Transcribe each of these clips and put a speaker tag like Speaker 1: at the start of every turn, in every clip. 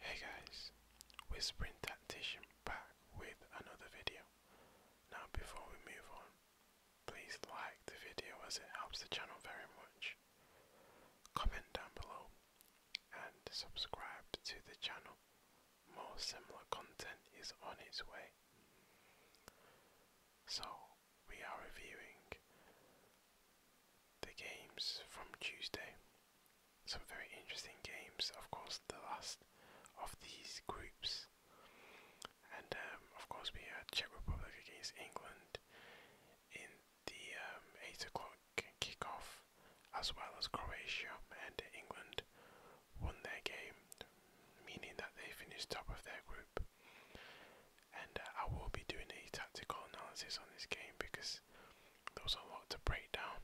Speaker 1: Hey guys, Whispering Tactician back with another video. Now before we move on, please like the video as it helps the channel very much. Comment down below and subscribe to the channel. More similar content is on its way. So, we are reviewing the games from Tuesday. Some very interesting games, of course, the last of these groups. And um, of course, we had Czech Republic against England in the um, 8 o'clock kickoff, as well as Croatia. And England won their game, meaning that they finished top of their group and uh, I will be doing a tactical analysis on this game because there's a lot to break down,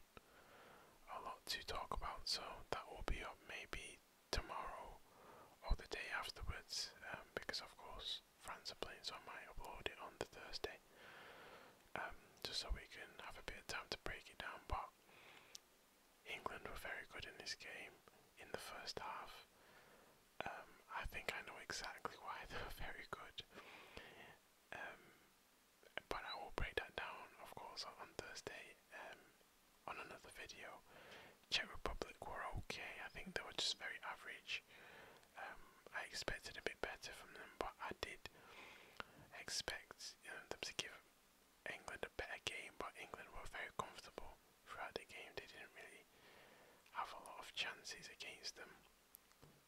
Speaker 1: a lot to talk about. So that will be up maybe tomorrow or the day afterwards, um, because of course France are playing, so I might upload it on the Thursday, um, just so we can have a bit of time to break it down. But England were very good in this game in the first half. Um, I think I know exactly why they're very good. Um, but I will break that down, of course, on Thursday um, on another video. Czech Republic were okay. I think they were just very average. Um, I expected a bit better from them, but I did expect you know, them to give England a better game. But England were very comfortable throughout the game. They didn't really have a lot of chances against them.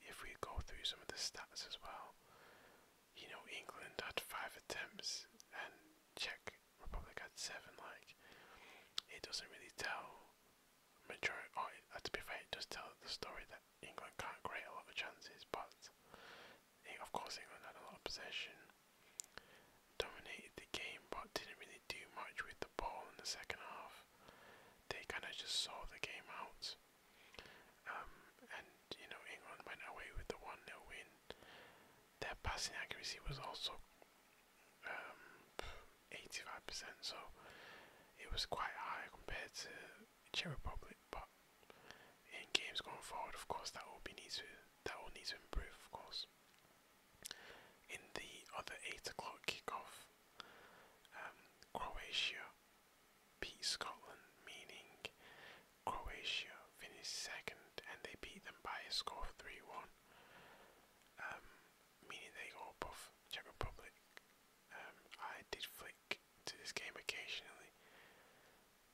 Speaker 1: If we go through some of the stats as well, you know, England had five attempts and Czech Republic had seven. Like, it doesn't really tell majority. Or uh, to be fair, it does tell the story that England can't create a lot of chances, but it, eh, of course England had a lot of possession. Dominated the game but didn't really do much with the ball in the second half. They kind of just saw the game out. Um, and, you know, England went away with the 1 0 win. Their passing accuracy was also um, 85%, so it was quite high compared to Czech Republic. But in games going forward, of course, that will be needs to that will need to improve, of course. In the other 8 o'clock kickoff, um, Croatia beat Scotland, meaning Croatia finished second and they beat them by a score of 3 1, um, meaning they go above Czech Republic. Um, I did flick to this game occasionally,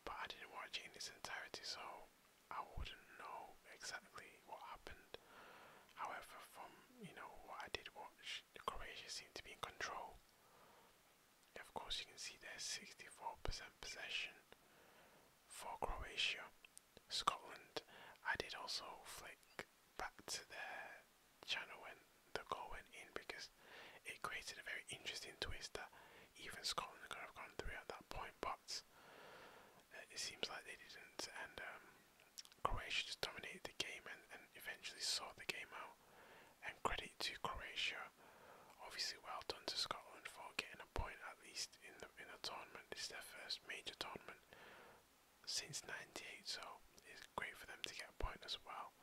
Speaker 1: but I didn't watch it in its entirety, so I wouldn't know exactly what happened. However, from you know what I did watch, Croatia seemed to be in control. Of course, you can see there's 64% possession for Croatia. Scotland, I did also flick back to their channel when the goal went in because it created a very interesting twist even Scotland could have gone through at that point, but uh, it seems like they didn't. And um, Croatia just dominated the game and, and eventually saw the game out. And credit to Croatia, obviously well done to Scotland for getting a point at least in the in a tournament. This is their first major tournament since '98, so it's great for them to get a point as well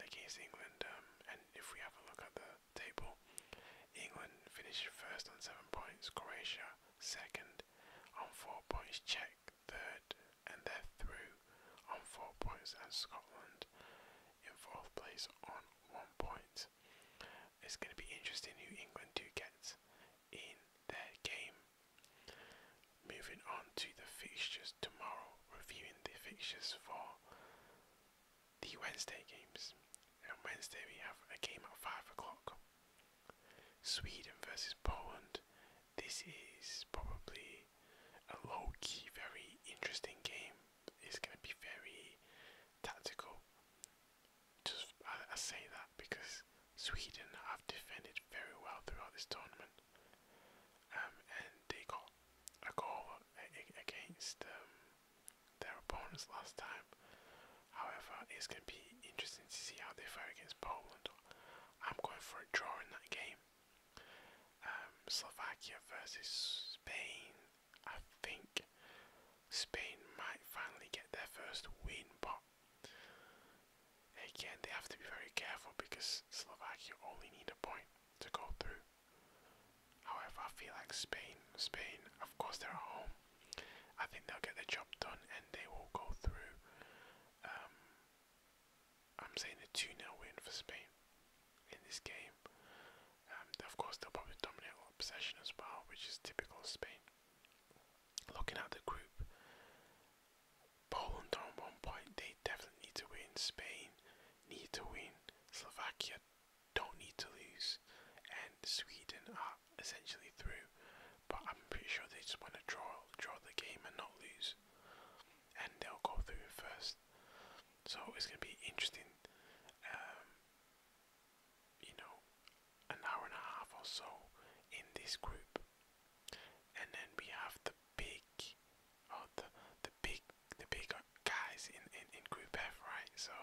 Speaker 1: against England. Um, and if we have a look at the table, England finished first on seven points, Croatia second on four points, Czech third, and they're through on four points, and Scotland in fourth place on one point. It's going to be interesting who England do get in their game. Moving on to the fixtures tomorrow, reviewing the fixtures for the Wednesday games. And Wednesday we have a game at five o'clock. Sweden versus Poland. This is probably a low key, very interesting game. It's going to be very tactical. Just I say that because Sweden have defended very well throughout this tournament. Um, and they got a goal against um, their opponents last time. However, it's going to be interesting to see how they fare against Poland. I'm going for a draw in that game. Um, Slovakia versus Spain. I think Spain might finally get their first win, but Again, they have to be very careful because Slovakia only need a point to go through. However, I feel like Spain, Spain, of course they're at home. I think they'll get the job done and they will go through. Um, I'm saying a 2 0 win for Spain in this game. Um, of course, they'll probably dominate possession as well, which is typical of Spain. Looking at the group, Poland on one point, they definitely need to win. Spain need to win. Slovakia don't need to lose. And Sweden are essentially through. But I'm pretty sure they just want to draw draw the game and not lose. And they'll go through first. So it's gonna be interesting. Um, you know, an hour and a half or so in this group. And then we have the big oh, the the big the big guys in, in, in group F, right? So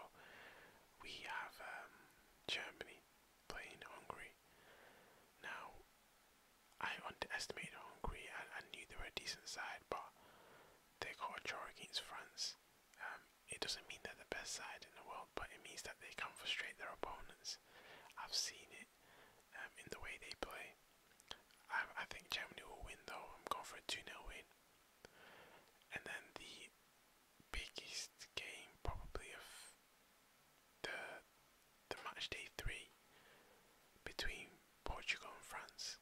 Speaker 1: we have um, Germany playing Hungary. Now I underestimated Hungary and I, I knew they were a decent side but they got a draw against France. Um, it doesn't mean they're the best side in the world, but it means that they can frustrate their opponents. I've seen it um, in the way they play. I, think Germany will win though. I'm going for a 2 0 win. And then the biggest game probably of the the match day three between Portugal and France.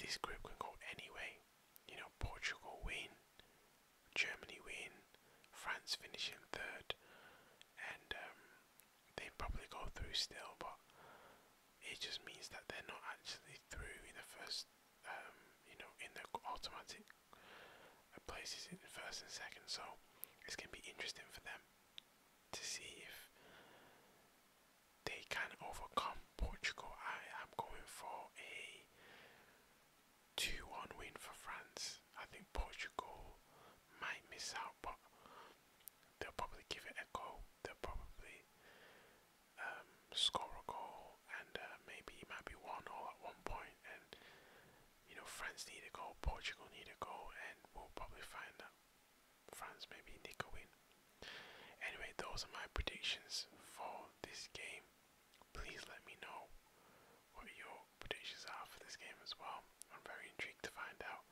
Speaker 1: This group can go anyway. You know, Portugal win, Germany win, France finish in third, and um, they probably go through still, but it just means that they're not actually through in the first, um, you know, in the automatic places in first and second. So it's going to be interesting for them to see if they can overcome Portugal. I am going for a 2-1 win for France. I think Portugal might miss out, but they'll probably give it a go. They'll probably um, score a goal, and uh, maybe it might be one all at one point. And you know, France need a goal, Portugal need a goal, and we'll probably find that France maybe nick a win. Anyway, those are my predictions for this game. Please let me know what your predictions are for this game as well. I'm very intrigued to find out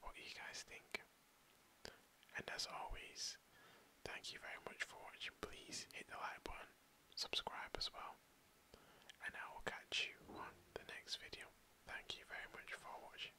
Speaker 1: what you guys think. And as always, thank you very much for watching. Please hit the like button, subscribe as well, and I will catch you on the next video. Thank you very much for watching.